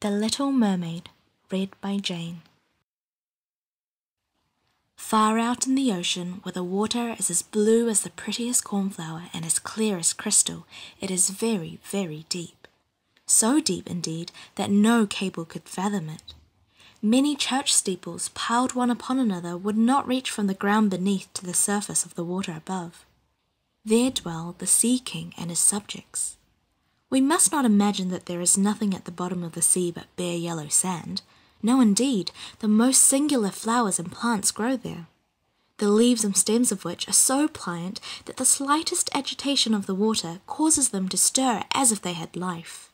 The Little Mermaid, read by Jane. Far out in the ocean, where the water is as blue as the prettiest cornflower and as clear as crystal, it is very, very deep. So deep, indeed, that no cable could fathom it. Many church steeples, piled one upon another, would not reach from the ground beneath to the surface of the water above. There dwell the Sea King and his subjects. We must not imagine that there is nothing at the bottom of the sea but bare yellow sand. No, indeed, the most singular flowers and plants grow there, the leaves and stems of which are so pliant that the slightest agitation of the water causes them to stir as if they had life.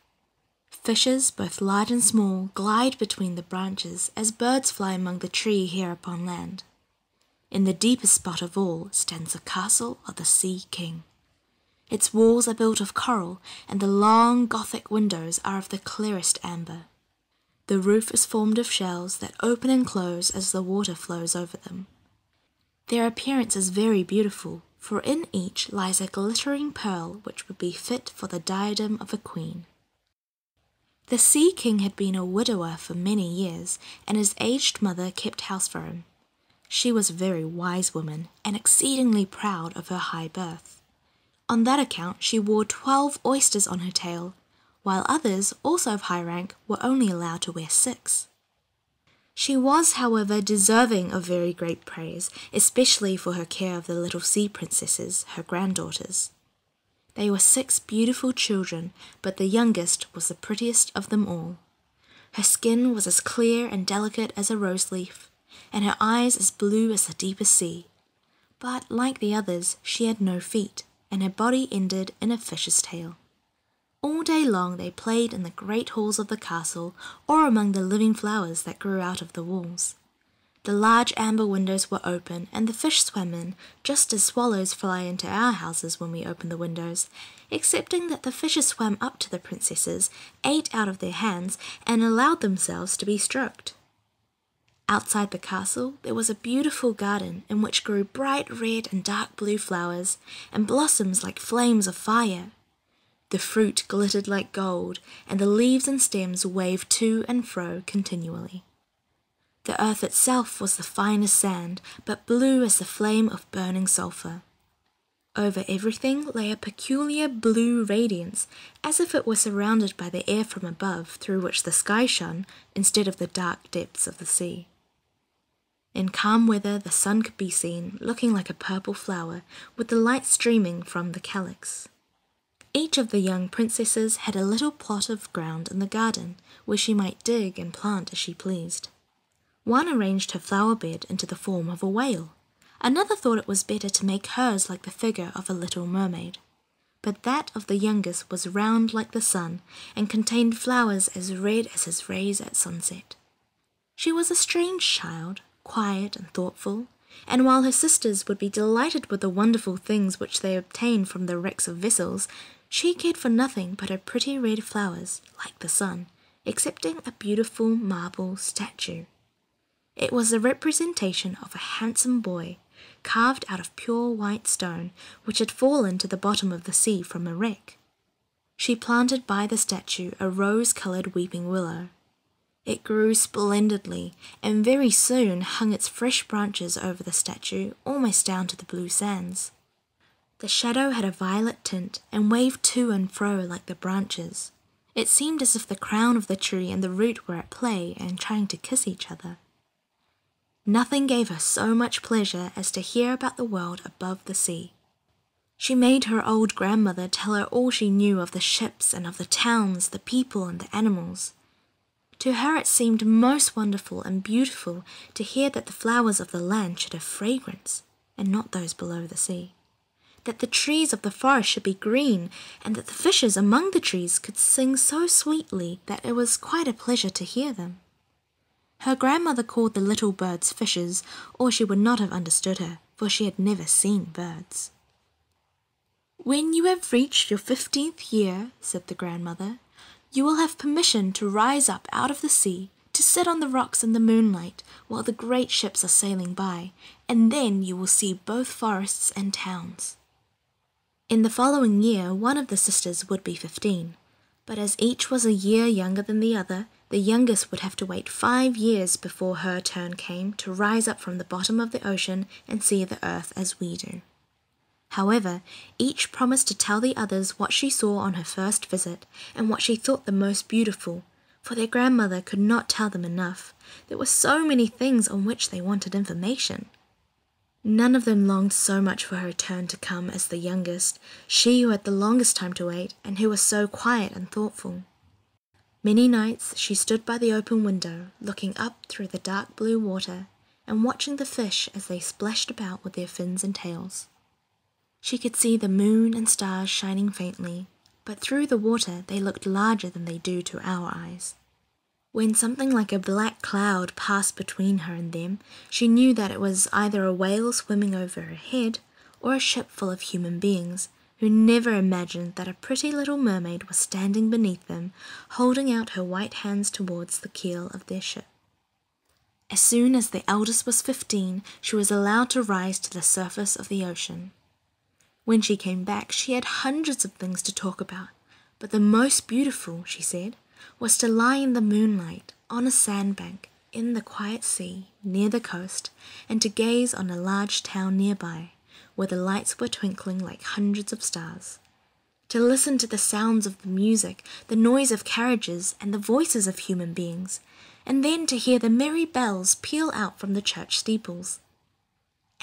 Fishes, both large and small, glide between the branches as birds fly among the trees here upon land. In the deepest spot of all stands the castle of the Sea King. Its walls are built of coral, and the long Gothic windows are of the clearest amber. The roof is formed of shells that open and close as the water flows over them. Their appearance is very beautiful, for in each lies a glittering pearl which would be fit for the diadem of a queen. The Sea King had been a widower for many years, and his aged mother kept house for him. She was a very wise woman and exceedingly proud of her high birth. On that account she wore twelve oysters on her tail, while others, also of high rank, were only allowed to wear six. She was, however, deserving of very great praise, especially for her care of the little sea princesses, her granddaughters. They were six beautiful children, but the youngest was the prettiest of them all. Her skin was as clear and delicate as a rose leaf, and her eyes as blue as the deepest sea. But like the others, she had no feet, and her body ended in a fish's tail. All day long they played in the great halls of the castle or among the living flowers that grew out of the walls. The large amber windows were open, and the fish swam in, just as swallows fly into our houses when we open the windows, excepting that the fishes swam up to the princesses, ate out of their hands, and allowed themselves to be stroked. Outside the castle there was a beautiful garden in which grew bright red and dark blue flowers, and blossoms like flames of fire. The fruit glittered like gold, and the leaves and stems waved to and fro continually. The earth itself was the finest sand, but blue as the flame of burning sulphur. Over everything lay a peculiar blue radiance, as if it were surrounded by the air from above through which the sky shone instead of the dark depths of the sea. In calm weather, the sun could be seen, looking like a purple flower, with the light streaming from the calyx. Each of the young princesses had a little plot of ground in the garden, where she might dig and plant as she pleased. One arranged her flower bed into the form of a whale. Another thought it was better to make hers like the figure of a little mermaid. But that of the youngest was round like the sun and contained flowers as red as his rays at sunset. She was a strange child, quiet and thoughtful, and while her sisters would be delighted with the wonderful things which they obtained from the wrecks of vessels, she cared for nothing but her pretty red flowers, like the sun, excepting a beautiful marble statue. It was a representation of a handsome boy, carved out of pure white stone, which had fallen to the bottom of the sea from a wreck. She planted by the statue a rose coloured weeping willow. It grew splendidly, and very soon hung its fresh branches over the statue almost down to the blue sands. The shadow had a violet tint and waved to and fro like the branches. It seemed as if the crown of the tree and the root were at play and trying to kiss each other. Nothing gave her so much pleasure as to hear about the world above the sea. She made her old grandmother tell her all she knew of the ships and of the towns, the people and the animals. To her it seemed most wonderful and beautiful to hear that the flowers of the land should have fragrance, and not those below the sea; that the trees of the forest should be green, and that the fishes among the trees could sing so sweetly that it was quite a pleasure to hear them. Her grandmother called the little birds fishes, or she would not have understood her, for she had never seen birds. "When you have reached your fifteenth year," said the grandmother you will have permission to rise up out of the sea, to sit on the rocks in the moonlight while the great ships are sailing by, and then you will see both forests and towns. In the following year, one of the sisters would be fifteen, but as each was a year younger than the other, the youngest would have to wait five years before her turn came to rise up from the bottom of the ocean and see the earth as we do. However, each promised to tell the others what she saw on her first visit and what she thought the most beautiful, for their grandmother could not tell them enough. There were so many things on which they wanted information. None of them longed so much for her turn to come as the youngest, she who had the longest time to wait and who was so quiet and thoughtful. Many nights she stood by the open window, looking up through the dark blue water and watching the fish as they splashed about with their fins and tails. She could see the moon and stars shining faintly, but through the water they looked larger than they do to our eyes. When something like a black cloud passed between her and them, she knew that it was either a whale swimming over her head or a ship full of human beings who never imagined that a pretty little mermaid was standing beneath them, holding out her white hands towards the keel of their ship. As soon as the eldest was 15, she was allowed to rise to the surface of the ocean. When she came back, she had hundreds of things to talk about, but the most beautiful, she said, was to lie in the moonlight on a sandbank in the quiet sea near the coast and to gaze on a large town nearby where the lights were twinkling like hundreds of stars to listen to the sounds of the music, the noise of carriages, and the voices of human beings, and then to hear the merry bells peal out from the church steeples.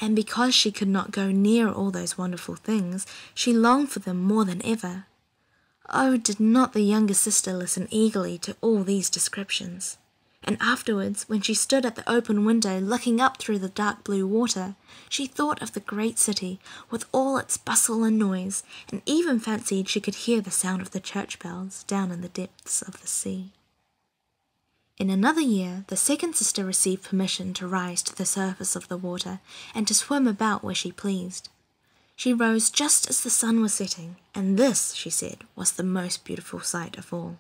And because she could not go near all those wonderful things, she longed for them more than ever. Oh, did not the younger sister listen eagerly to all these descriptions? And afterwards, when she stood at the open window looking up through the dark blue water, she thought of the great city with all its bustle and noise, and even fancied she could hear the sound of the church bells down in the depths of the sea. In another year, the second sister received permission to rise to the surface of the water and to swim about where she pleased. She rose just as the sun was setting, and this, she said, was the most beautiful sight of all.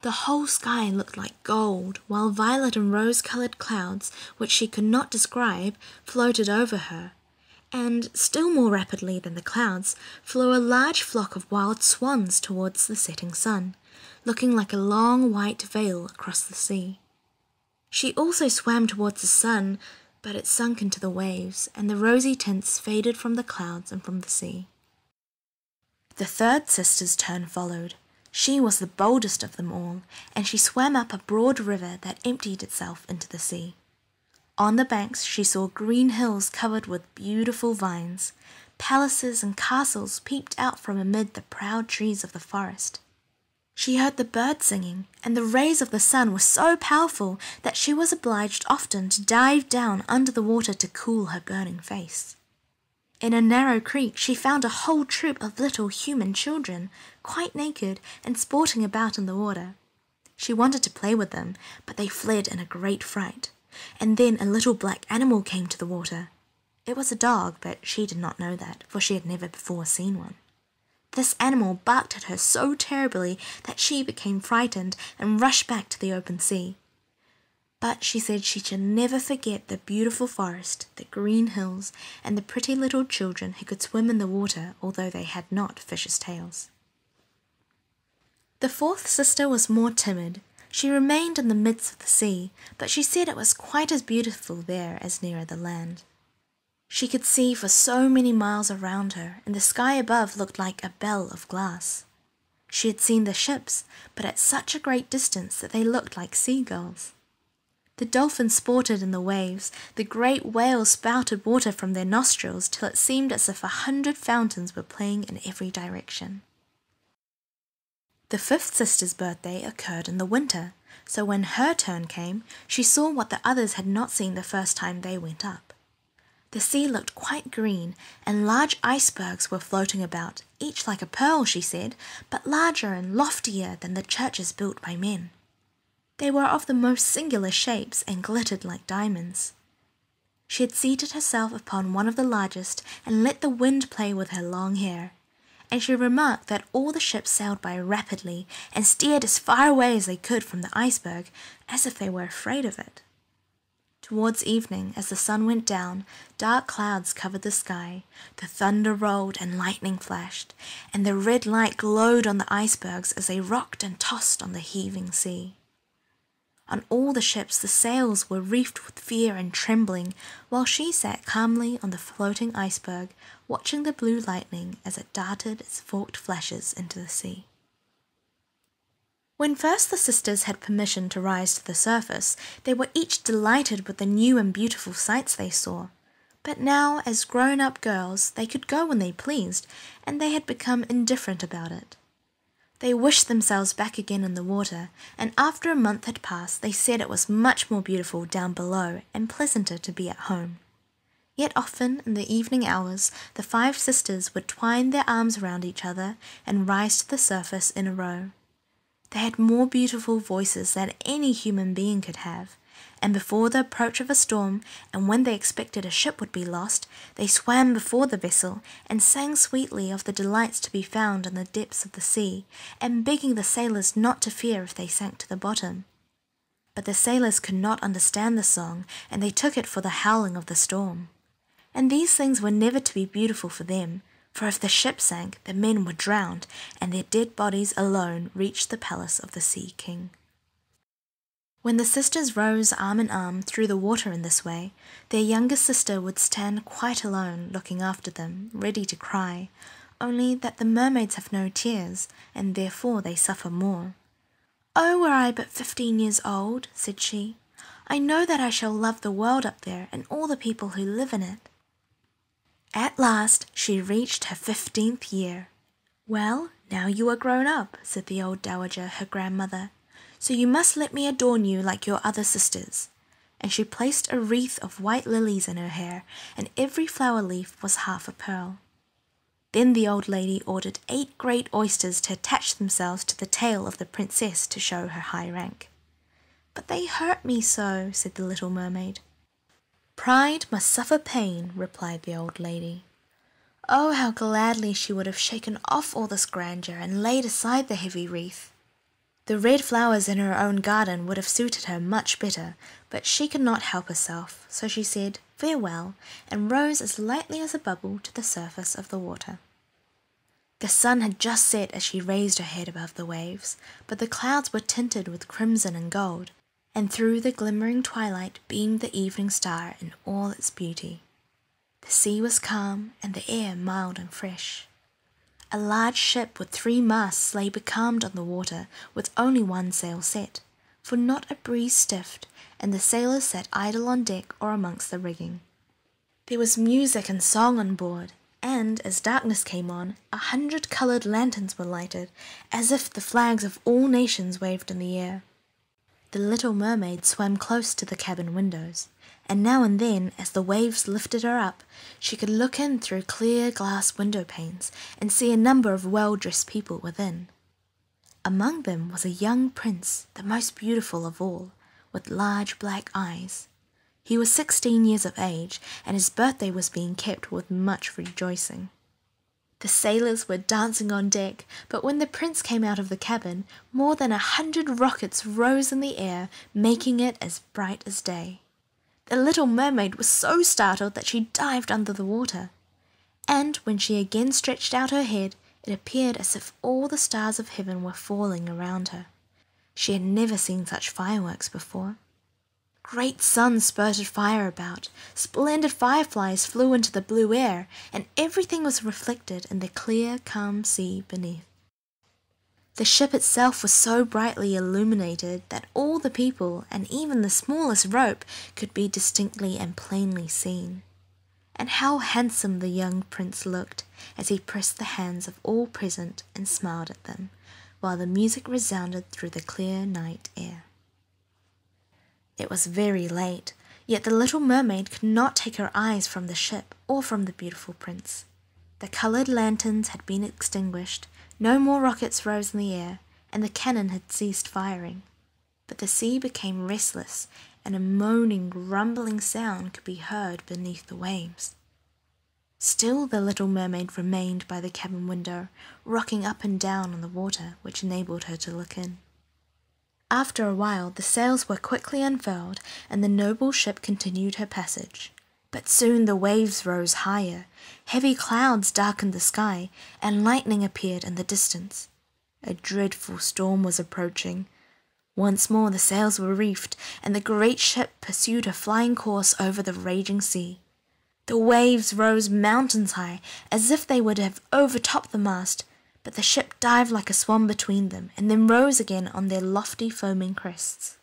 The whole sky looked like gold while violet and rose coloured clouds, which she could not describe, floated over her. And, still more rapidly than the clouds, flew a large flock of wild swans towards the setting sun, looking like a long white veil across the sea. She also swam towards the sun, but it sunk into the waves, and the rosy tints faded from the clouds and from the sea. The third sister's turn followed, she was the boldest of them all, and she swam up a broad river that emptied itself into the sea. On the banks she saw green hills covered with beautiful vines. Palaces and castles peeped out from amid the proud trees of the forest. She heard the birds singing, and the rays of the sun were so powerful that she was obliged often to dive down under the water to cool her burning face. In a narrow creek she found a whole troop of little human children, quite naked, and sporting about in the water. She wanted to play with them, but they fled in a great fright. And then a little black animal came to the water. It was a dog, but she did not know that, for she had never before seen one. This animal barked at her so terribly that she became frightened and rushed back to the open sea. But she said she should never forget the beautiful forest the green hills, and the pretty little children who could swim in the water although they had not fishes' tails. The fourth sister was more timid. She remained in the midst of the sea, but she said it was quite as beautiful there as nearer the land. She could see for so many miles around her, and the sky above looked like a bell of glass. She had seen the ships, but at such a great distance that they looked like sea seagulls. The dolphins sported in the waves, the great whales spouted water from their nostrils till it seemed as if a hundred fountains were playing in every direction. The fifth sister's birthday occurred in the winter, so when her turn came, she saw what the others had not seen the first time they went up. The sea looked quite green, and large icebergs were floating about, each like a pearl, she said, but larger and loftier than the churches built by men. They were of the most singular shapes and glittered like diamonds. She had seated herself upon one of the largest and let the wind play with her long hair, and she remarked that all the ships sailed by rapidly and steered as far away as they could from the iceberg, as if they were afraid of it. Towards evening, as the sun went down, dark clouds covered the sky, the thunder rolled and lightning flashed, and the red light glowed on the icebergs as they rocked and tossed on the heaving sea. On all the ships the sails were reefed with fear and trembling, while she sat calmly on the floating iceberg, watching the blue lightning as it darted its forked flashes into the sea. When first the sisters had permission to rise to the surface, they were each delighted with the new and beautiful sights they saw. But now, as grown up girls, they could go when they pleased, and they had become indifferent about it. They wished themselves back again in the water, and after a month had passed, they said it was much more beautiful down below and pleasanter to be at home. Yet often, in the evening hours, the five sisters would twine their arms round each other and rise to the surface in a row. They had more beautiful voices than any human being could have, and before the approach of a storm, and when they expected a ship would be lost, they swam before the vessel, and sang sweetly of the delights to be found in the depths of the sea, and begging the sailors not to fear if they sank to the bottom. But the sailors could not understand the song, and they took it for the howling of the storm. And these things were never to be beautiful for them, for if the ship sank, the men were drowned, and their dead bodies alone reached the palace of the Sea King. When the sisters rose arm in arm through the water in this way, their younger sister would stand quite alone looking after them, ready to cry, only that the mermaids have no tears, and therefore they suffer more. Oh, were I but fifteen years old, said she, I know that I shall love the world up there and all the people who live in it. At last she reached her fifteenth year. "Well, now you are grown up," said the old dowager, her grandmother, "so you must let me adorn you like your other sisters." And she placed a wreath of white lilies in her hair, and every flower leaf was half a pearl. Then the old lady ordered eight great oysters to attach themselves to the tail of the Princess to show her high rank. "But they hurt me so," said the little mermaid. Pride must suffer pain, replied the old lady. Oh, how gladly she would have shaken off all this grandeur and laid aside the heavy wreath. The red flowers in her own garden would have suited her much better, but she could not help herself, so she said farewell and rose as lightly as a bubble to the surface of the water. The sun had just set as she raised her head above the waves but the clouds were tinted with crimson and gold, and through the glimmering twilight beamed the evening star in all its beauty. The sea was calm, and the air mild and fresh. A large ship with three masts lay becalmed on the water, with only one sail set, for not a breeze stiffed, and the sailors sat idle on deck or amongst the rigging. There was music and song on board, and as darkness came on, a hundred coloured lanterns were lighted, as if the flags of all nations waved in the air. The little mermaid swam close to the cabin windows, and now and then, as the waves lifted her up, she could look in through clear glass window panes and see a number of well dressed people within. Among them was a young prince, the most beautiful of all, with large black eyes. He was sixteen years of age, and his birthday was being kept with much rejoicing. The sailors were dancing on deck, but when the Prince came out of the cabin, more than a hundred rockets rose in the air, making it as bright as day. The little mermaid was so startled that she dived under the water. And when she again stretched out her head, it appeared as if all the stars of heaven were falling around her. She had never seen such fireworks before. Great suns spurted fire about, splendid fireflies flew into the blue air, and everything was reflected in the clear, calm sea beneath. The ship itself was so brightly illuminated that all the people and even the smallest rope could be distinctly and plainly seen. And how handsome the young prince looked as he pressed the hands of all present and smiled at them, while the music resounded through the clear night air. It was very late, yet the little mermaid could not take her eyes from the ship or from the beautiful prince. The coloured lanterns had been extinguished, no more rockets rose in the air, and the cannon had ceased firing. But the sea became restless, and a moaning, rumbling sound could be heard beneath the waves. Still the little mermaid remained by the cabin window, rocking up and down on the water which enabled her to look in. After a while the sails were quickly unfurled and the noble ship continued her passage. But soon the waves rose higher, heavy clouds darkened the sky, and lightning appeared in the distance. A dreadful storm was approaching. Once more the sails were reefed, and the great ship pursued her flying course over the raging sea. The waves rose mountains high, as if they would have overtopped the mast, but the ship dived like a swan between them, and then rose again on their lofty foaming crests.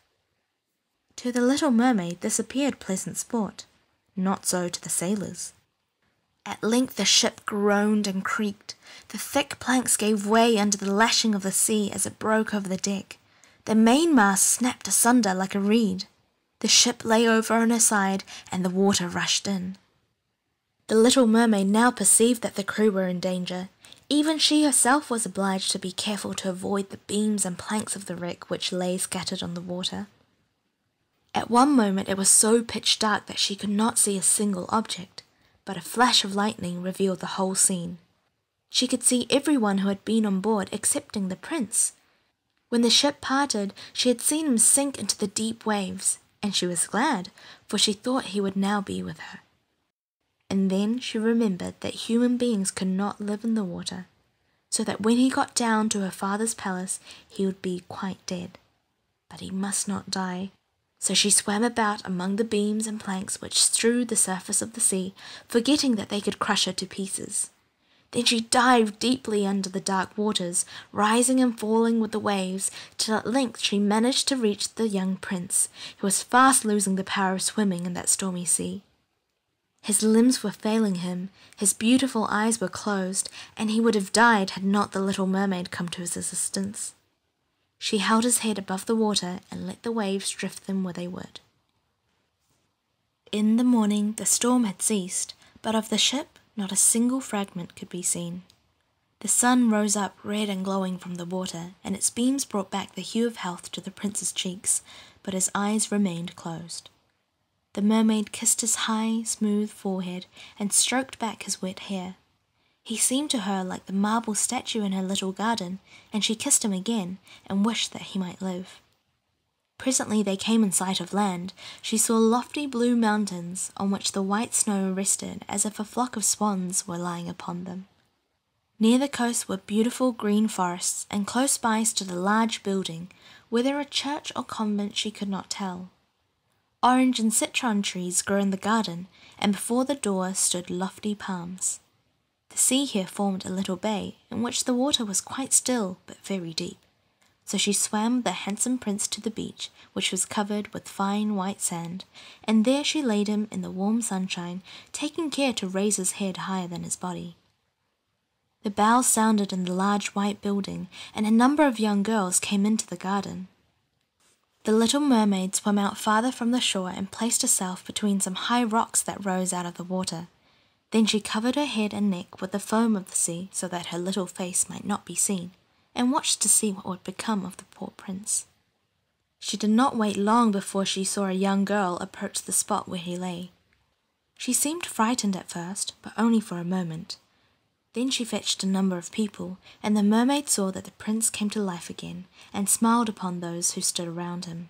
To the little mermaid this appeared pleasant sport, not so to the sailors. At length the ship groaned and creaked. The thick planks gave way under the lashing of the sea as it broke over the deck. The mainmast snapped asunder like a reed. The ship lay over on her side and the water rushed in. The little mermaid now perceived that the crew were in danger. Even she herself was obliged to be careful to avoid the beams and planks of the wreck which lay scattered on the water. At one moment it was so pitch dark that she could not see a single object, but a flash of lightning revealed the whole scene. She could see every one who had been on board excepting the prince. When the ship parted, she had seen him sink into the deep waves, and she was glad, for she thought he would now be with her. And then she remembered that human beings could not live in the water, so that when he got down to her father's palace, he would be quite dead. But he must not die. So she swam about among the beams and planks which strewed the surface of the sea forgetting that they could crush her to pieces. Then she dived deeply under the dark waters, rising and falling with the waves, till at length she managed to reach the young prince, who was fast losing the power of swimming in that stormy sea. His limbs were failing him, his beautiful eyes were closed, and he would have died had not the little mermaid come to his assistance. She held his head above the water and let the waves drift them where they would. In the morning the storm had ceased, but of the ship not a single fragment could be seen. The sun rose up red and glowing from the water, and its beams brought back the hue of health to the prince's cheeks, but his eyes remained closed. The mermaid kissed his high, smooth forehead and stroked back his wet hair. He seemed to her like the marble statue in her little garden, and she kissed him again and wished that he might live. Presently they came in sight of land. She saw lofty blue mountains on which the white snow rested as if a flock of swans were lying upon them. Near the coast were beautiful green forests, and close by stood a large building, whether a church or convent she could not tell. Orange and citron trees grew in the garden, and before the door stood lofty palms. The sea here formed a little bay in which the water was quite still but very deep. So she swam the handsome prince to the beach, which was covered with fine white sand, and there she laid him in the warm sunshine, taking care to raise his head higher than his body. The bells sounded in the large white building, and a number of young girls came into the garden. The little mermaid swam out farther from the shore and placed herself between some high rocks that rose out of the water. Then she covered her head and neck with the foam of the sea so that her little face might not be seen, and watched to see what would become of the poor prince. She did not wait long before she saw a young girl approach the spot where he lay. She seemed frightened at first, but only for a moment. Then she fetched a number of people, and the mermaid saw that the prince came to life again, and smiled upon those who stood around him.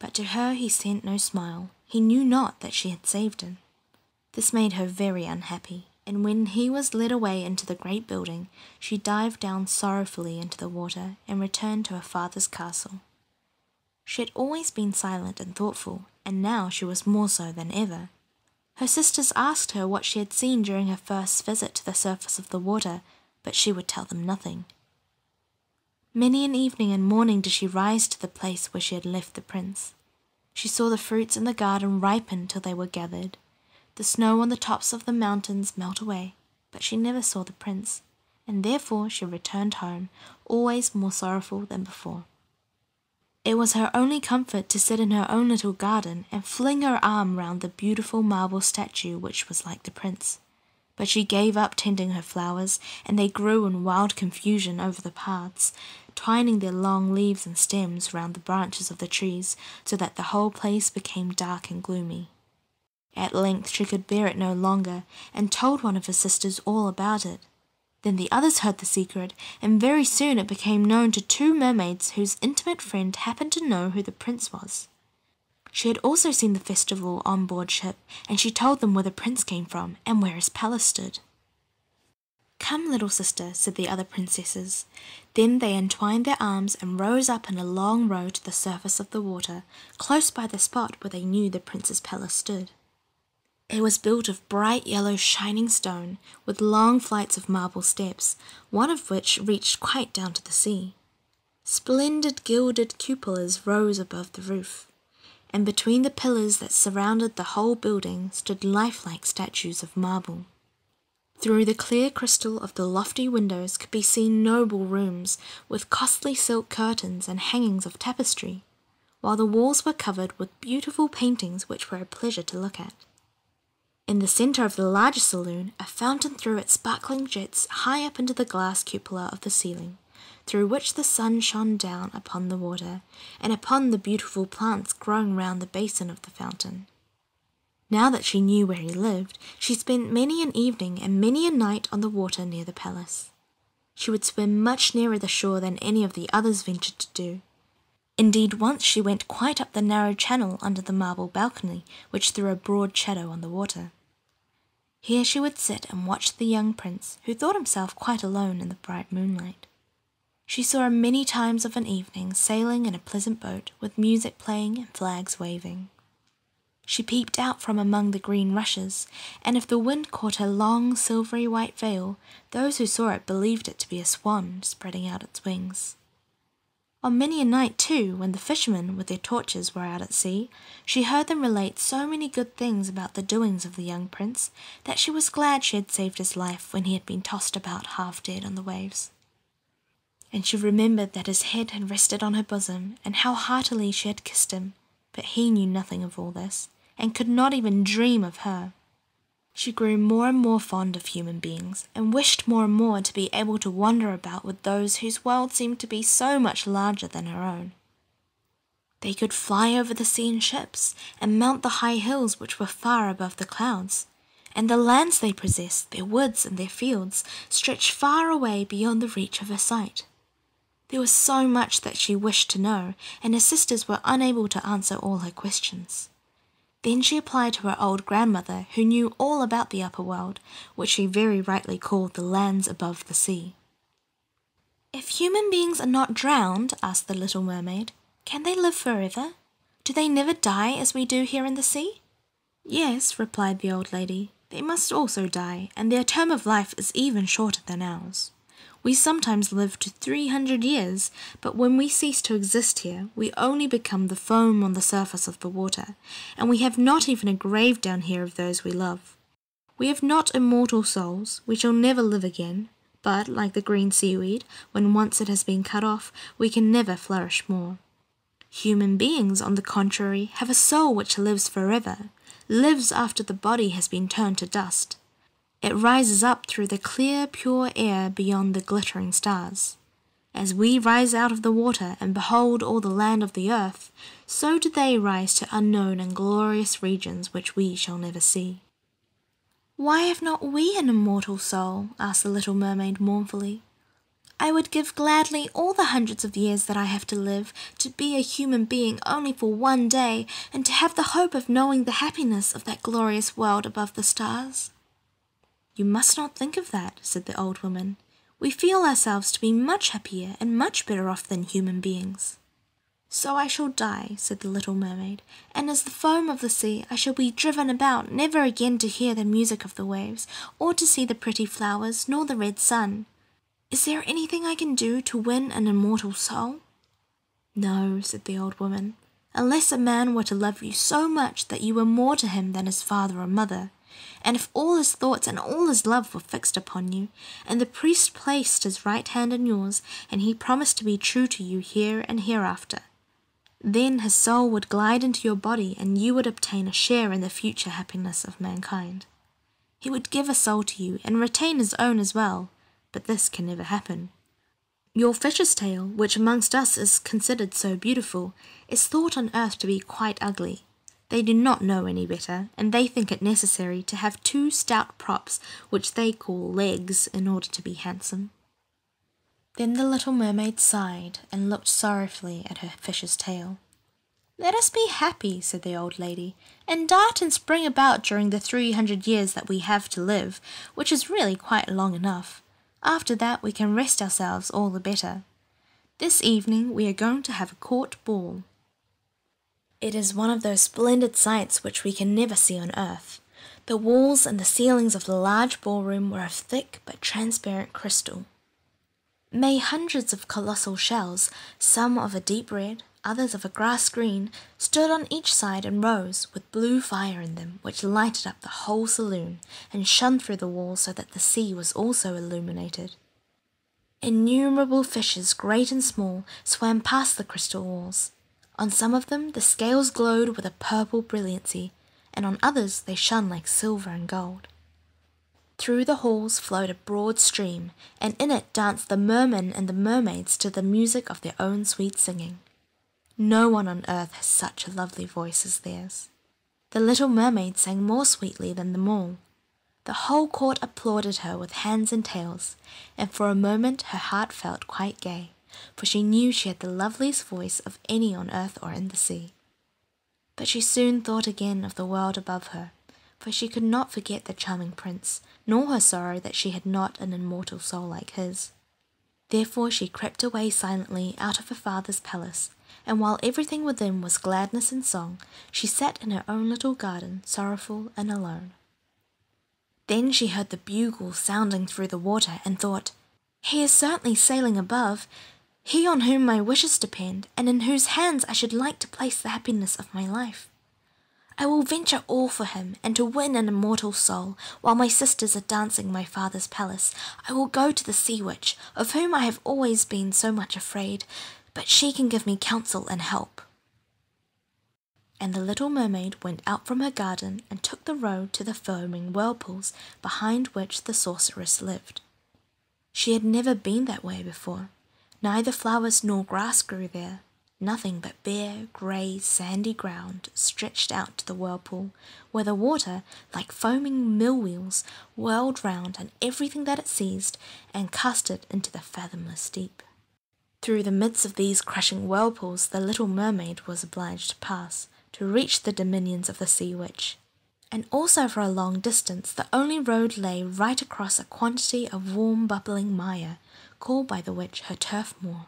But to her he sent no smile. He knew not that she had saved him. This made her very unhappy, and when he was led away into the great building, she dived down sorrowfully into the water and returned to her father's castle. She had always been silent and thoughtful, and now she was more so than ever. Her sisters asked her what she had seen during her first visit to the surface of the water, but she would tell them nothing. Many an evening and morning did she rise to the place where she had left the Prince. She saw the fruits in the garden ripen till they were gathered, the snow on the tops of the mountains melt away, but she never saw the Prince, and therefore she returned home, always more sorrowful than before. It was her only comfort to sit in her own little garden and fling her arm round the beautiful marble statue which was like the Prince. But she gave up tending her flowers, and they grew in wild confusion over the paths, twining their long leaves and stems round the branches of the trees so that the whole place became dark and gloomy. At length she could bear it no longer, and told one of her sisters all about it. Then the others heard the secret, and very soon it became known to two mermaids whose intimate friend happened to know who the prince was. She had also seen the festival on board ship, and she told them where the prince came from and where his palace stood. Come, little sister, said the other princesses. Then they entwined their arms and rose up in a long row to the surface of the water, close by the spot where they knew the prince's palace stood. It was built of bright yellow shining stone, with long flights of marble steps, one of which reached quite down to the sea. Splendid gilded cupolas rose above the roof, and between the pillars that surrounded the whole building stood lifelike statues of marble. Through the clear crystal of the lofty windows could be seen noble rooms with costly silk curtains and hangings of tapestry, while the walls were covered with beautiful paintings which were a pleasure to look at. In the center of the larger saloon, a fountain threw its sparkling jets high up into the glass cupola of the ceiling through which the sun shone down upon the water and upon the beautiful plants growing round the basin of the fountain. Now that she knew where he lived, she spent many an evening and many a night on the water near the palace. She would swim much nearer the shore than any of the others ventured to do. Indeed, once she went quite up the narrow channel under the marble balcony, which threw a broad shadow on the water. Here she would sit and watch the young prince, who thought himself quite alone in the bright moonlight. She saw him many times of an evening sailing in a pleasant boat with music playing and flags waving. She peeped out from among the green rushes, and if the wind caught her long silvery white veil, those who saw it believed it to be a swan spreading out its wings. On many a night, too, when the fishermen with their torches were out at sea, she heard them relate so many good things about the doings of the young prince that she was glad she had saved his life when he had been tossed about half dead on the waves. And she remembered that his head had rested on her bosom, and how heartily she had kissed him, but he knew nothing of all this, and could not even dream of her. She grew more and more fond of human beings, and wished more and more to be able to wander about with those whose world seemed to be so much larger than her own. They could fly over the sea in ships and mount the high hills which were far above the clouds. And the lands they possessed, their woods and their fields, stretched far away beyond the reach of her sight. There was so much that she wished to know, and her sisters were unable to answer all her questions. Then she applied to her old grandmother, who knew all about the upper world, which she very rightly called the lands above the sea. If human beings are not drowned, asked the little mermaid, can they live forever? Do they never die as we do here in the sea? Yes, replied the old lady, they must also die, and their term of life is even shorter than ours. We sometimes live to 300 years, but when we cease to exist here, we only become the foam on the surface of the water, and we have not even a grave down here of those we love. We have not immortal souls, we shall never live again, but, like the green seaweed, when once it has been cut off, we can never flourish more. Human beings, on the contrary, have a soul which lives forever, lives after the body has been turned to dust. It rises up through the clear, pure air beyond the glittering stars. As we rise out of the water and behold all the land of the earth, so do they rise to unknown and glorious regions which we shall never see. Why have not we an immortal soul? asked the little mermaid mournfully. I would give gladly all the hundreds of years that I have to live to be a human being only for one day and to have the hope of knowing the happiness of that glorious world above the stars. You must not think of that, said the old woman we feel ourselves to be much happier and much better off than human beings. So I shall die, said the little mermaid, and as the foam of the sea I shall be driven about, never again to hear the music of the waves, or to see the pretty flowers, nor the red sun. Is there anything I can do to win an immortal soul? No, said the old woman, unless a man were to love you so much that you were more to him than his father or mother, and if all his thoughts and all his love were fixed upon you, and the priest placed his right hand in yours, and he promised to be true to you here and hereafter, then his soul would glide into your body, and you would obtain a share in the future happiness of mankind. He would give a soul to you, and retain his own as well, but this can never happen. Your fisher's tail, which amongst us is considered so beautiful, is thought on earth to be quite ugly, they do not know any better, and they think it necessary to have two stout props, which they call legs, in order to be handsome. Then the little mermaid sighed and looked sorrowfully at her fish's tail. Let us be happy, said the old lady, and dart and spring about during the three hundred years that we have to live, which is really quite long enough. After that we can rest ourselves all the better. This evening we are going to have a court ball. It is one of those splendid sights which we can never see on earth. The walls and the ceilings of the large ballroom were of thick but transparent crystal. May hundreds of colossal shells, some of a deep red, others of a grass green, stood on each side and rose with blue fire in them, which lighted up the whole saloon and shone through the walls so that the sea was also illuminated. Innumerable fishes, great and small, swam past the crystal walls. On some of them the scales glowed with a purple brilliancy, and on others they shone like silver and gold. Through the halls flowed a broad stream, and in it danced the mermen and the mermaids to the music of their own sweet singing. No one on earth has such a lovely voice as theirs. The little mermaid sang more sweetly than them all, the whole court applauded her with hands and tails, and for a moment her heart felt quite gay, for she knew she had the loveliest voice of any on earth or in the sea. But she soon thought again of the world above her, for she could not forget the charming prince, nor her sorrow that she had not an immortal soul like his. Therefore she crept away silently out of her father's palace and while everything within was gladness and song, she sat in her own little garden, sorrowful and alone. Then she heard the bugle sounding through the water and thought, He is certainly sailing above, he on whom my wishes depend, and in whose hands I should like to place the happiness of my life. I will venture all for him, and to win an immortal soul, while my sisters are dancing my father's palace, I will go to the sea witch, of whom I have always been so much afraid, but she can give me counsel and help. And the little mermaid went out from her garden and took the road to the foaming whirlpools behind which the sorceress lived. She had never been that way before. Neither flowers nor grass grew there. Nothing but bare, grey, sandy ground stretched out to the whirlpool, where the water, like foaming mill wheels, whirled round and everything that it seized, and cast it into the fathomless deep. Through the midst of these crushing whirlpools the little mermaid was obliged to pass, to reach the dominions of the sea witch. And also for a long distance the only road lay right across a quantity of warm bubbling mire, called by the witch her turf moor.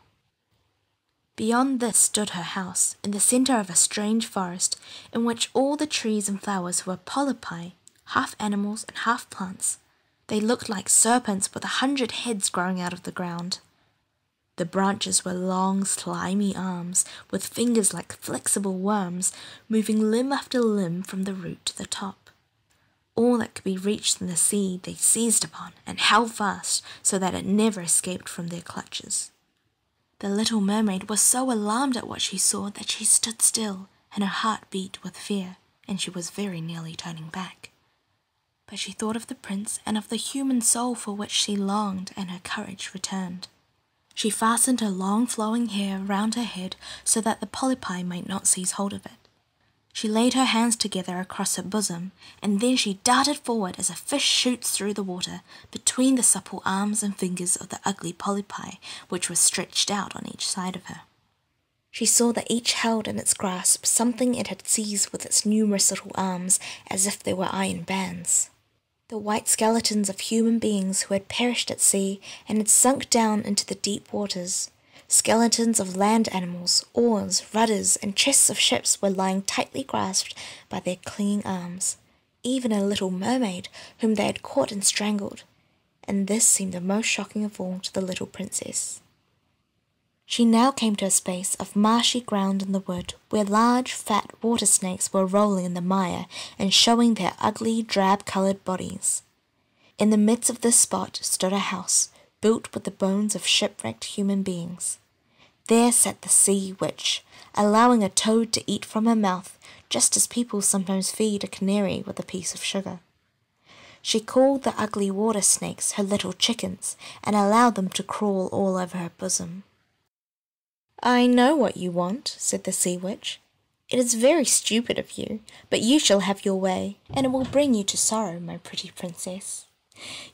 Beyond this stood her house, in the centre of a strange forest, in which all the trees and flowers were polypi, half animals and half plants. They looked like serpents with a hundred heads growing out of the ground. The branches were long, slimy arms with fingers like flexible worms moving limb after limb from the root to the top. All that could be reached in the sea they seized upon and held fast so that it never escaped from their clutches. The little mermaid was so alarmed at what she saw that she stood still, and her heart beat with fear, and she was very nearly turning back. But she thought of the prince and of the human soul for which she longed, and her courage returned. She fastened her long flowing hair round her head so that the polypi might not seize hold of it. She laid her hands together across her bosom, and then she darted forward as a fish shoots through the water, between the supple arms and fingers of the ugly polypi, which were stretched out on each side of her. She saw that each held in its grasp something it had seized with its numerous little arms as if they were iron bands. The white skeletons of human beings who had perished at sea and had sunk down into the deep waters. Skeletons of land animals, oars, rudders, and chests of ships were lying tightly grasped by their clinging arms even a little mermaid whom they had caught and strangled, and this seemed the most shocking of all to the little princess. She now came to a space of marshy ground in the wood where large, fat water snakes were rolling in the mire and showing their ugly, drab coloured bodies. In the midst of this spot stood a house built with the bones of shipwrecked human beings. There sat the sea witch, allowing a toad to eat from her mouth, just as people sometimes feed a canary with a piece of sugar. She called the ugly water snakes her little chickens and allowed them to crawl all over her bosom. I know what you want, said the sea witch. It is very stupid of you, but you shall have your way, and it will bring you to sorrow, my pretty princess.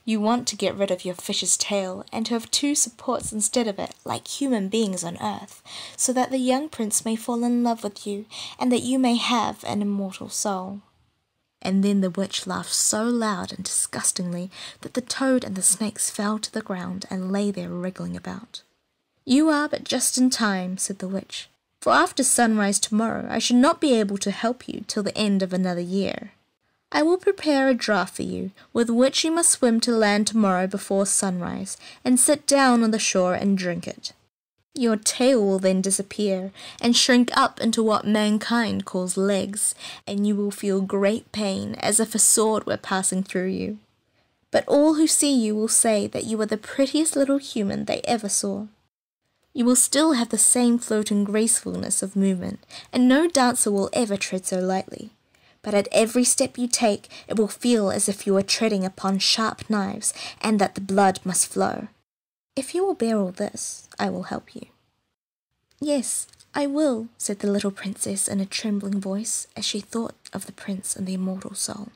You want to get rid of your fish's tail and to have two supports instead of it, like human beings on earth, so that the young prince may fall in love with you, and that you may have an immortal soul. And then the witch laughed so loud and disgustingly that the toad and the snakes fell to the ground and lay there wriggling about. You are but just in time, said the witch, for after sunrise tomorrow I should not be able to help you till the end of another year. I will prepare a draught for you, with which you must swim to land tomorrow before sunrise, and sit down on the shore and drink it. Your tail will then disappear and shrink up into what mankind calls legs, and you will feel great pain as if a sword were passing through you. But all who see you will say that you are the prettiest little human they ever saw. You will still have the same floating gracefulness of movement, and no dancer will ever tread so lightly. But at every step you take, it will feel as if you were treading upon sharp knives and that the blood must flow. If you will bear all this, I will help you. Yes, I will, said the little princess in a trembling voice as she thought of the prince and the immortal soul.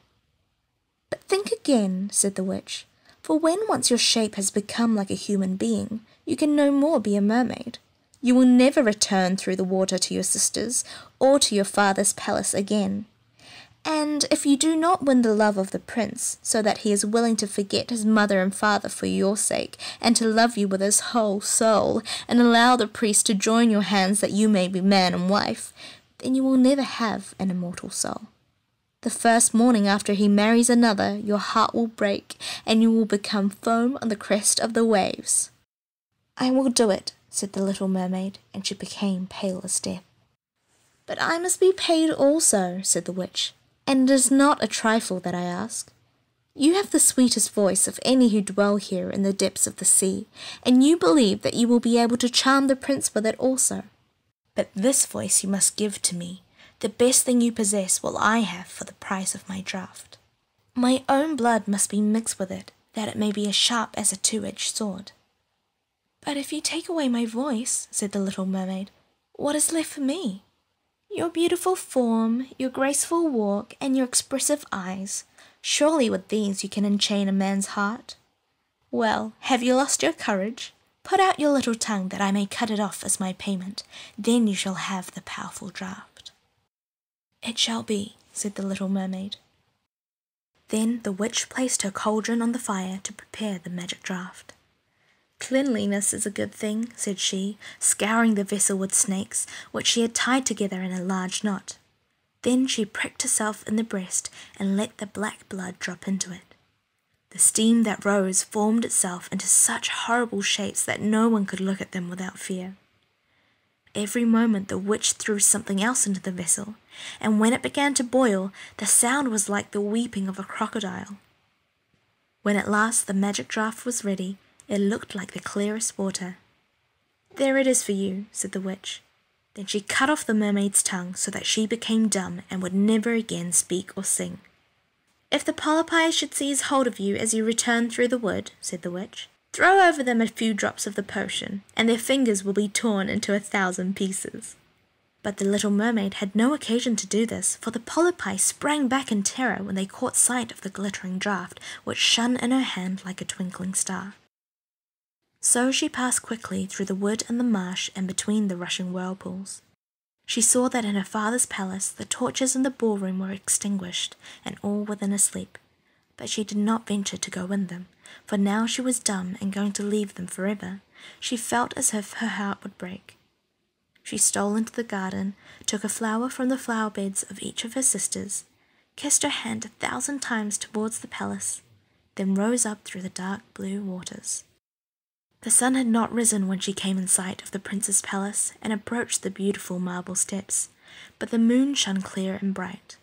But think again, said the witch, for when once your shape has become like a human being, you can no more be a mermaid. You will never return through the water to your sisters or to your father's palace again. And if you do not win the love of the prince, so that he is willing to forget his mother and father for your sake, and to love you with his whole soul, and allow the priest to join your hands that you may be man and wife, then you will never have an immortal soul. The first morning after he marries another, your heart will break, and you will become foam on the crest of the waves. I will do it, said the little mermaid, and she became pale as death. But I must be paid also, said the witch, and it is not a trifle that I ask. You have the sweetest voice of any who dwell here in the depths of the sea, and you believe that you will be able to charm the prince with it also. But this voice you must give to me. The best thing you possess will I have for the price of my draught. My own blood must be mixed with it, that it may be as sharp as a two edged sword. But if you take away my voice, said the little mermaid, what is left for me? Your beautiful form, your graceful walk, and your expressive eyes. Surely with these you can enchain a man's heart. Well, have you lost your courage? Put out your little tongue that I may cut it off as my payment. Then you shall have the powerful draught. It shall be, said the little mermaid. Then the witch placed her cauldron on the fire to prepare the magic draught. "Cleanliness is a good thing," said she, scouring the vessel with snakes, which she had tied together in a large knot. Then she pricked herself in the breast and let the black blood drop into it. The steam that rose formed itself into such horrible shapes that no one could look at them without fear. Every moment the witch threw something else into the vessel, and when it began to boil the sound was like the weeping of a crocodile. When at last the magic draught was ready, it looked like the clearest water. There it is for you, said the witch. Then she cut off the mermaid's tongue so that she became dumb and would never again speak or sing. If the polypi should seize hold of you as you return through the wood, said the witch, Throw over them a few drops of the potion, and their fingers will be torn into a thousand pieces. But the little mermaid had no occasion to do this, for the polypi sprang back in terror when they caught sight of the glittering draught, which shone in her hand like a twinkling star. So she passed quickly through the wood and the marsh and between the rushing whirlpools. She saw that in her father's palace the torches in the ballroom were extinguished, and all were then asleep, but she did not venture to go in them, for now she was dumb and going to leave them for ever. She felt as if her heart would break. She stole into the garden, took a flower from the flower beds of each of her sisters, kissed her hand a thousand times towards the palace, then rose up through the dark blue waters. The sun had not risen when she came in sight of the prince's palace and approached the beautiful marble steps, but the moon shone clear and bright.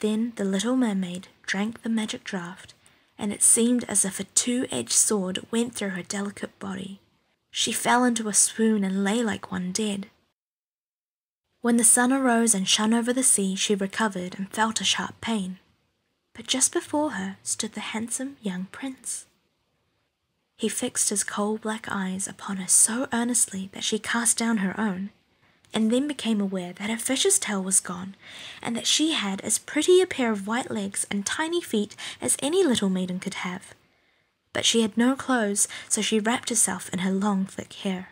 Then the little mermaid drank the magic draught, and it seemed as if a two edged sword went through her delicate body. She fell into a swoon and lay like one dead. When the sun arose and shone over the sea, she recovered and felt a sharp pain. But just before her stood the handsome young prince. He fixed his coal black eyes upon her so earnestly that she cast down her own and then became aware that her fish's tail was gone, and that she had as pretty a pair of white legs and tiny feet as any little maiden could have. But she had no clothes, so she wrapped herself in her long thick hair.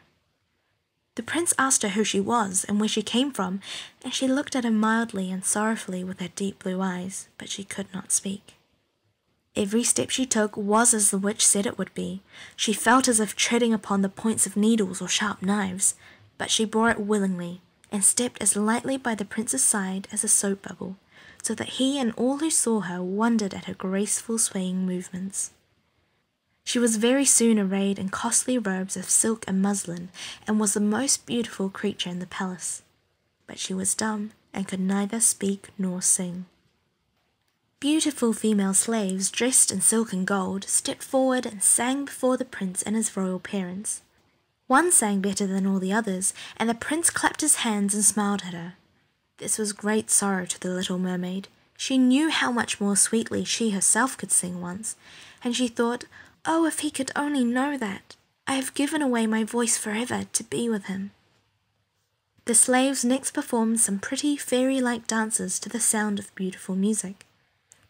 The prince asked her who she was and where she came from, and she looked at him mildly and sorrowfully with her deep blue eyes, but she could not speak. Every step she took was as the witch said it would be, she felt as if treading upon the points of needles or sharp knives, but she bore it willingly, and stepped as lightly by the prince's side as a soap bubble, so that he and all who saw her wondered at her graceful swaying movements. She was very soon arrayed in costly robes of silk and muslin, and was the most beautiful creature in the palace. But she was dumb, and could neither speak nor sing. Beautiful female slaves, dressed in silk and gold, stepped forward and sang before the Prince and his royal parents. One sang better than all the others, and the Prince clapped his hands and smiled at her. This was great sorrow to the little mermaid. She knew how much more sweetly she herself could sing once, and she thought, Oh, if he could only know that! I have given away my voice for ever to be with him. The slaves next performed some pretty fairy-like dances to the sound of beautiful music.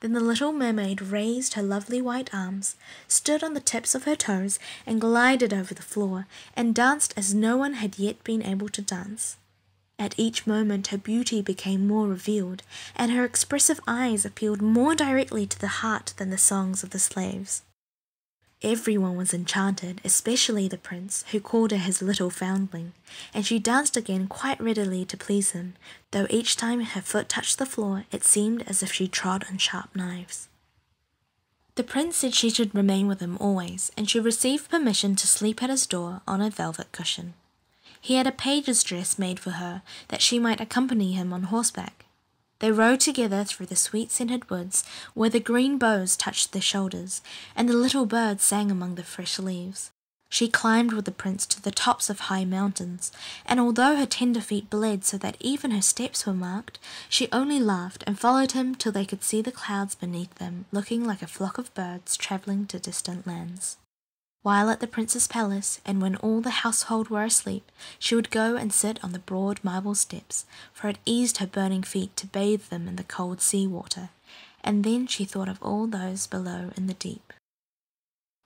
Then the little mermaid raised her lovely white arms, stood on the tips of her toes, and glided over the floor, and danced as no one had yet been able to dance. At each moment her beauty became more revealed, and her expressive eyes appealed more directly to the heart than the songs of the slaves. Every one was enchanted, especially the prince, who called her his little foundling and she danced again quite readily to please him, though each time her foot touched the floor it seemed as if she trod on sharp knives. The prince said she should remain with him always, and she received permission to sleep at his door on a velvet cushion. He had a page's dress made for her, that she might accompany him on horseback. They rode together through the sweet scented woods, where the green boughs touched their shoulders, and the little birds sang among the fresh leaves. She climbed with the prince to the tops of high mountains, and although her tender feet bled so that even her steps were marked, she only laughed and followed him till they could see the clouds beneath them, looking like a flock of birds travelling to distant lands. While at the prince's palace, and when all the household were asleep, she would go and sit on the broad marble steps, for it eased her burning feet to bathe them in the cold sea water, and then she thought of all those below in the deep.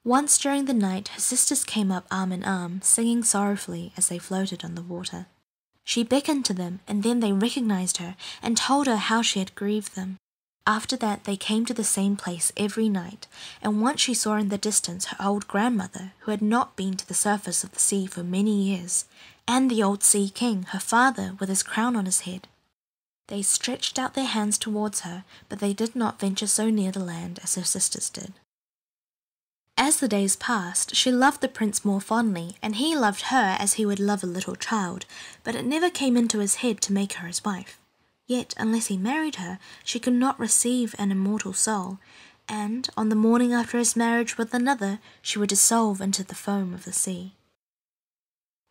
Once during the night, her sisters came up arm in arm, singing sorrowfully as they floated on the water. She beckoned to them, and then they recognized her and told her how she had grieved them. After that, they came to the same place every night, and once she saw in the distance her old grandmother, who had not been to the surface of the sea for many years, and the old Sea King, her father, with his crown on his head. They stretched out their hands towards her, but they did not venture so near the land as her sisters did. As the days passed, she loved the Prince more fondly, and he loved her as he would love a little child, but it never came into his head to make her his wife. Yet, unless he married her, she could not receive an immortal soul, and on the morning after his marriage with another she would dissolve into the foam of the sea.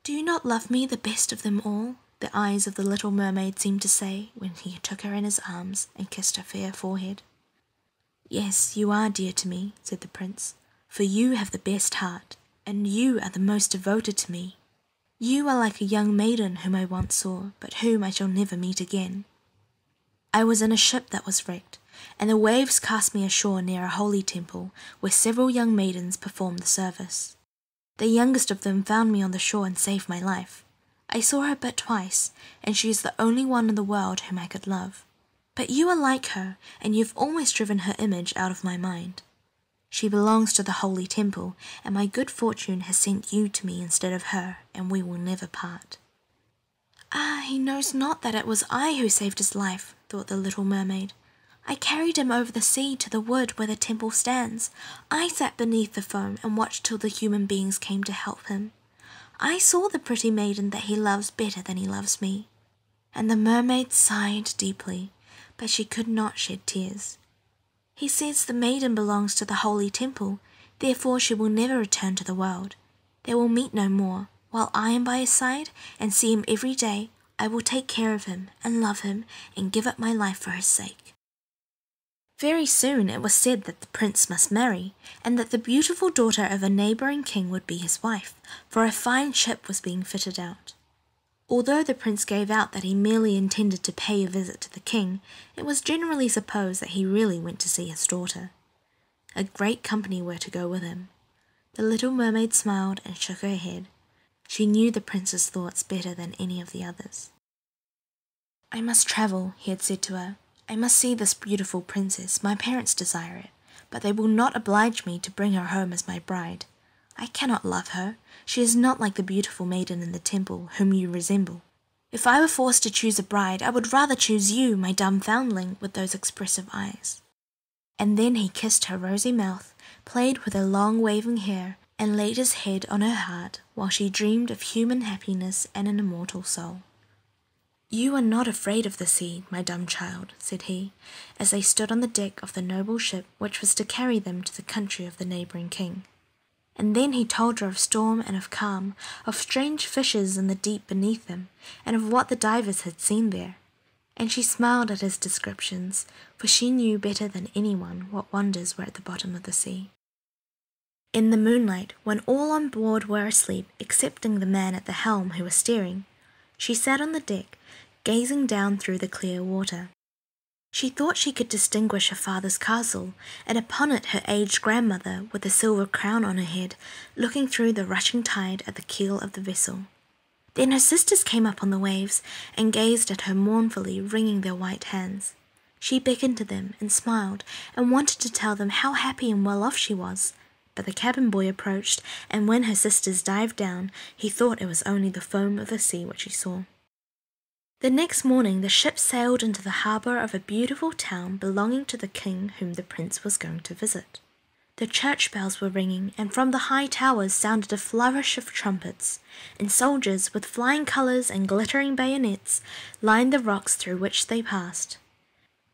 Do you not love me the best of them all? The eyes of the little mermaid seemed to say when he took her in his arms and kissed her fair forehead. Yes, you are dear to me, said the prince, for you have the best heart, and you are the most devoted to me. You are like a young maiden whom I once saw, but whom I shall never meet again. I was in a ship that was wrecked, and the waves cast me ashore near a holy temple, where several young maidens perform the service. The youngest of them found me on the shore and saved my life. I saw her but twice, and she is the only one in the world whom I could love. But you are like her, and you've almost driven her image out of my mind. She belongs to the holy temple, and my good fortune has sent you to me instead of her, and we will never part. Ah, he knows not that it was I who saved his life, thought the little mermaid. I carried him over the sea to the wood where the temple stands. I sat beneath the foam and watched till the human beings came to help him. I saw the pretty maiden that he loves better than he loves me. And the mermaid sighed deeply, but she could not shed tears. He says the maiden belongs to the holy temple, therefore she will never return to the world. They will meet no more, while I am by his side and see him every day I will take care of him and love him and give up my life for his sake. Very soon it was said that the prince must marry, and that the beautiful daughter of a neighbouring king would be his wife, for a fine ship was being fitted out. Although the prince gave out that he merely intended to pay a visit to the king, it was generally supposed that he really went to see his daughter. A great company were to go with him. The little mermaid smiled and shook her head. She knew the prince's thoughts better than any of the others. I must travel, he had said to her. I must see this beautiful princess. My parents desire it, but they will not oblige me to bring her home as my bride. I cannot love her. She is not like the beautiful maiden in the temple, whom you resemble. If I were forced to choose a bride, I would rather choose you, my dumb foundling, with those expressive eyes. And then he kissed her rosy mouth, played with her long waving hair, and laid his head on her heart while she dreamed of human happiness and an immortal soul. You are not afraid of the sea, my dumb child, said he, as they stood on the deck of the noble ship which was to carry them to the country of the neighbouring king. And then he told her of storm and of calm, of strange fishes in the deep beneath them, and of what the divers had seen there and she smiled at his descriptions, for she knew better than any one what wonders were at the bottom of the sea. In the moonlight, when all on board were asleep excepting the man at the helm who was steering, she sat on the deck, gazing down through the clear water. She thought she could distinguish her father's castle, and upon it her aged grandmother, with a silver crown on her head, looking through the rushing tide at the keel of the vessel. Then her sisters came up on the waves and gazed at her mournfully, wringing their white hands. She beckoned to them and smiled and wanted to tell them how happy and well off she was. But the cabin boy approached, and when her sisters dived down, he thought it was only the foam of the sea which he saw. The next morning the ship sailed into the harbour of a beautiful town belonging to the king whom the prince was going to visit. The church bells were ringing, and from the high towers sounded a flourish of trumpets, and soldiers with flying colors and glittering bayonets lined the rocks through which they passed.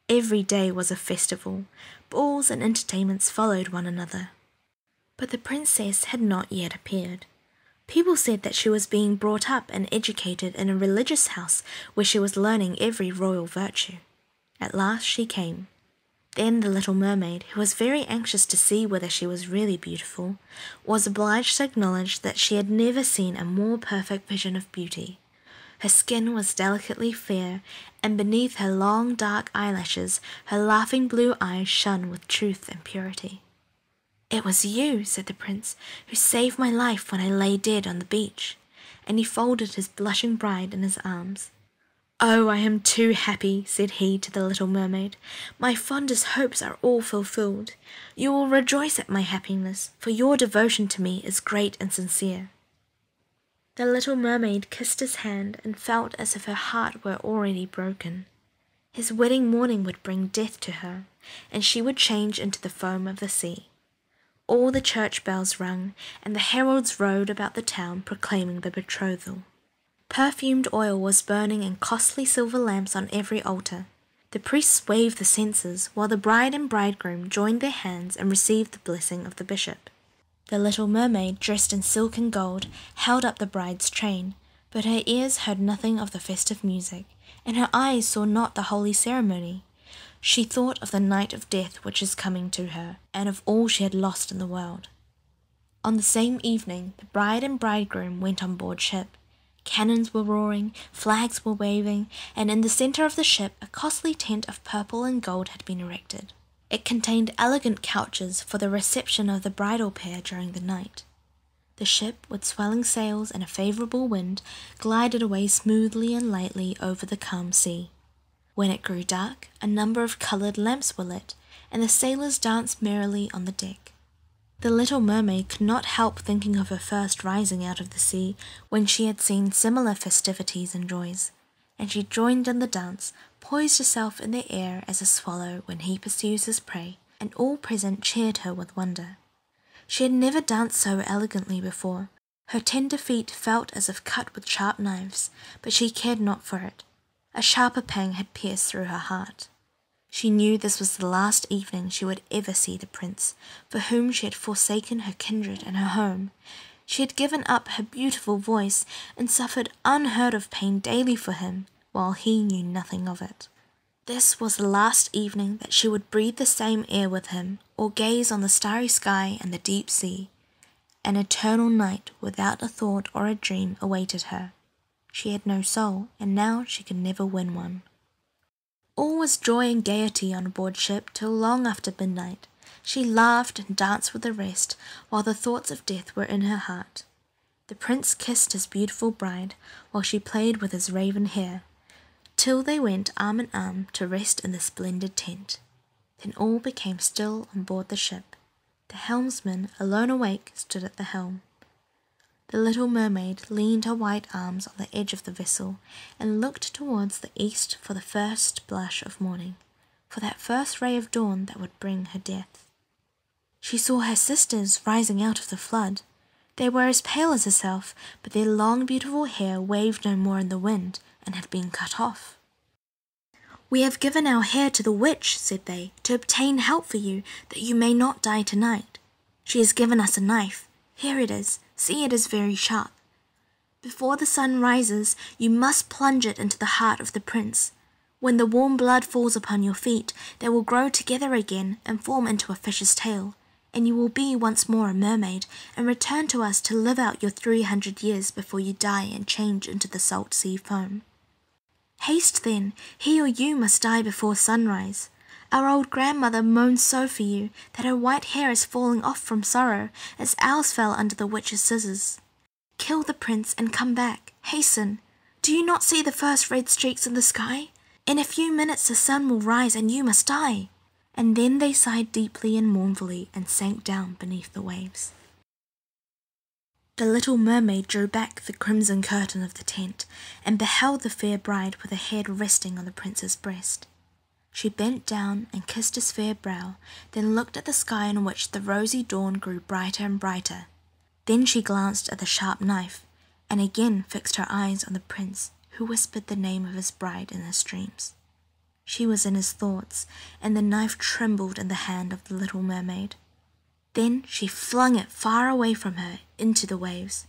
Every day was a festival. Balls and entertainments followed one another. But the princess had not yet appeared. People said that she was being brought up and educated in a religious house where she was learning every royal virtue. At last she came. Then the little mermaid, who was very anxious to see whether she was really beautiful, was obliged to acknowledge that she had never seen a more perfect vision of beauty. Her skin was delicately fair, and beneath her long dark eyelashes her laughing blue eyes shone with truth and purity. It was you, said the prince, who saved my life when I lay dead on the beach, and he folded his blushing bride in his arms. Oh, I am too happy, said he to the little mermaid. My fondest hopes are all fulfilled. You will rejoice at my happiness, for your devotion to me is great and sincere. The little mermaid kissed his hand and felt as if her heart were already broken. His wedding morning would bring death to her, and she would change into the foam of the sea. All the church bells rung, and the heralds rode about the town proclaiming the betrothal. Perfumed oil was burning in costly silver lamps on every altar. The priests waved the censers, while the bride and bridegroom joined their hands and received the blessing of the bishop. The little mermaid, dressed in silk and gold, held up the bride's train, but her ears heard nothing of the festive music, and her eyes saw not the holy ceremony. She thought of the night of death which is coming to her and of all she had lost in the world. On the same evening, the bride and bridegroom went on board ship. Cannons were roaring, flags were waving, and in the centre of the ship a costly tent of purple and gold had been erected. It contained elegant couches for the reception of the bridal pair during the night. The ship, with swelling sails and a favourable wind, glided away smoothly and lightly over the calm sea. When it grew dark, a number of coloured lamps were lit, and the sailors danced merrily on the deck. The little mermaid could not help thinking of her first rising out of the sea when she had seen similar festivities and joys, and she joined in the dance, poised herself in the air as a swallow when he pursues his prey, and all present cheered her with wonder. She had never danced so elegantly before. Her tender feet felt as if cut with sharp knives, but she cared not for it. A sharper pang had pierced through her heart. She knew this was the last evening she would ever see the prince, for whom she had forsaken her kindred and her home. She had given up her beautiful voice and suffered unheard of pain daily for him, while he knew nothing of it. This was the last evening that she would breathe the same air with him, or gaze on the starry sky and the deep sea. An eternal night without a thought or a dream awaited her. She had no soul, and now she could never win one. All was joy and gaiety on board ship till long after midnight. She laughed and danced with the rest, while the thoughts of death were in her heart. The prince kissed his beautiful bride, while she played with his raven hair, till they went arm in arm to rest in the splendid tent. Then all became still on board the ship. The helmsman, alone awake, stood at the helm. The little mermaid leaned her white arms on the edge of the vessel and looked towards the east for the first blush of morning, for that first ray of dawn that would bring her death. She saw her sisters rising out of the flood. They were as pale as herself, but their long beautiful hair waved no more in the wind and had been cut off. We have given our hair to the witch, said they, to obtain help for you, that you may not die tonight. She has given us a knife. Here it is. See, it is very sharp. Before the sun rises, you must plunge it into the heart of the prince. When the warm blood falls upon your feet, they will grow together again and form into a fish's tail, and you will be once more a mermaid, and return to us to live out your three hundred years before you die and change into the salt sea foam. Haste then, he or you must die before sunrise. Our old grandmother moans so for you that her white hair is falling off from sorrow as ours fell under the witch's scissors. Kill the prince and come back. Hasten. Do you not see the first red streaks in the sky? In a few minutes the sun will rise and you must die. And then they sighed deeply and mournfully and sank down beneath the waves. The little mermaid drew back the crimson curtain of the tent, and beheld the fair bride with her head resting on the prince's breast. She bent down and kissed his fair brow, then looked at the sky in which the rosy dawn grew brighter and brighter. Then she glanced at the sharp knife, and again fixed her eyes on the prince, who whispered the name of his bride in his dreams. She was in his thoughts, and the knife trembled in the hand of the little mermaid. Then she flung it far away from her into the waves.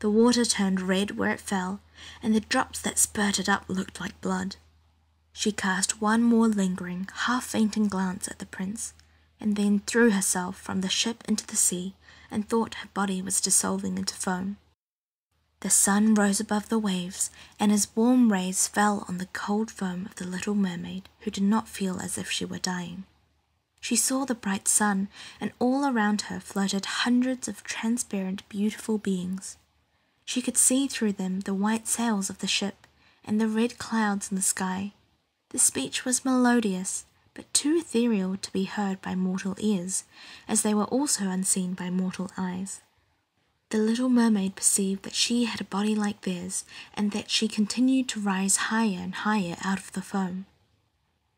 The water turned red where it fell, and the drops that spurted up looked like blood. She cast one more lingering, half fainting glance at the prince, and then threw herself from the ship into the sea and thought her body was dissolving into foam. The sun rose above the waves and his warm rays fell on the cold foam of the little mermaid, who did not feel as if she were dying. She saw the bright sun, and all around her floated hundreds of transparent, beautiful beings. She could see through them the white sails of the ship and the red clouds in the sky. The speech was melodious, but too ethereal to be heard by mortal ears, as they were also unseen by mortal eyes. The little mermaid perceived that she had a body like theirs and that she continued to rise higher and higher out of the foam.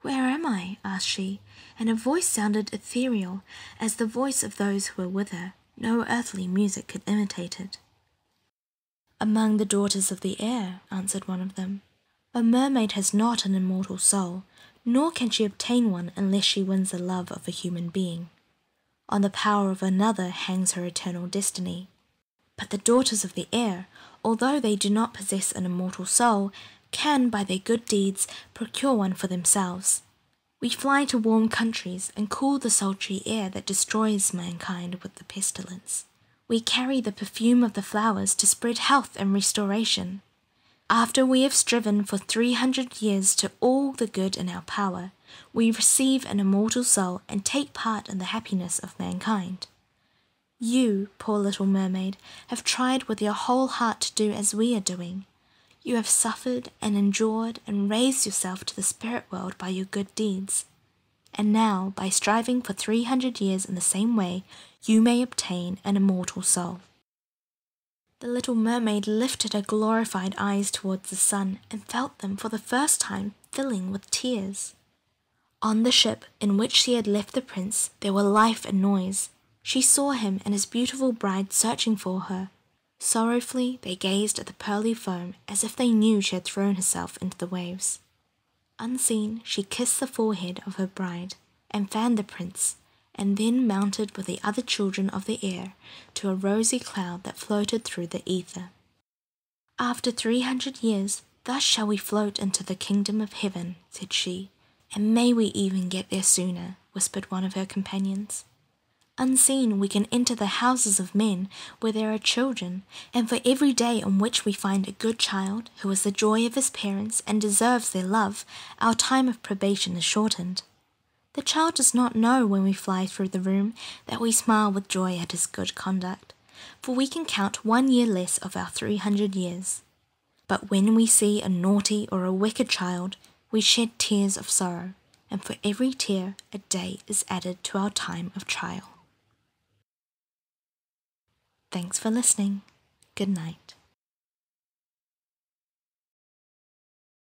Where am I? asked she, and her voice sounded ethereal as the voice of those who were with her. No earthly music could imitate it. Among the daughters of the air, answered one of them. A mermaid has not an immortal soul, nor can she obtain one unless she wins the love of a human being. On the power of another hangs her eternal destiny. But the daughters of the air, although they do not possess an immortal soul, can by their good deeds procure one for themselves. We fly to warm countries and cool the sultry air that destroys mankind with the pestilence. We carry the perfume of the flowers to spread health and restoration. After we have striven for three hundred years to all the good in our power, we receive an immortal soul and take part in the happiness of mankind. You, poor little mermaid, have tried with your whole heart to do as we are doing. You have suffered and endured and raised yourself to the spirit world by your good deeds. And now, by striving for three hundred years in the same way, you may obtain an immortal soul. The little mermaid lifted her glorified eyes towards the sun and felt them for the first time filling with tears. On the ship in which she had left the prince there were life and noise. She saw him and his beautiful bride searching for her. Sorrowfully they gazed at the pearly foam as if they knew she had thrown herself into the waves. Unseen, she kissed the forehead of her bride and fanned the prince, and then mounted with the other children of the air to a rosy cloud that floated through the ether. After three hundred years, thus shall we float into the kingdom of heaven, said she. And may we even get there sooner, whispered one of her companions. Unseen, we can enter the houses of men where there are children, and for every day on which we find a good child who is the joy of his parents and deserves their love, our time of probation is shortened. The child does not know when we fly through the room that we smile with joy at his good conduct, for we can count one year less of our 300 years. But when we see a naughty or a wicked child, we shed tears of sorrow, and for every tear a day is added to our time of trial. Thanks for listening. Good night.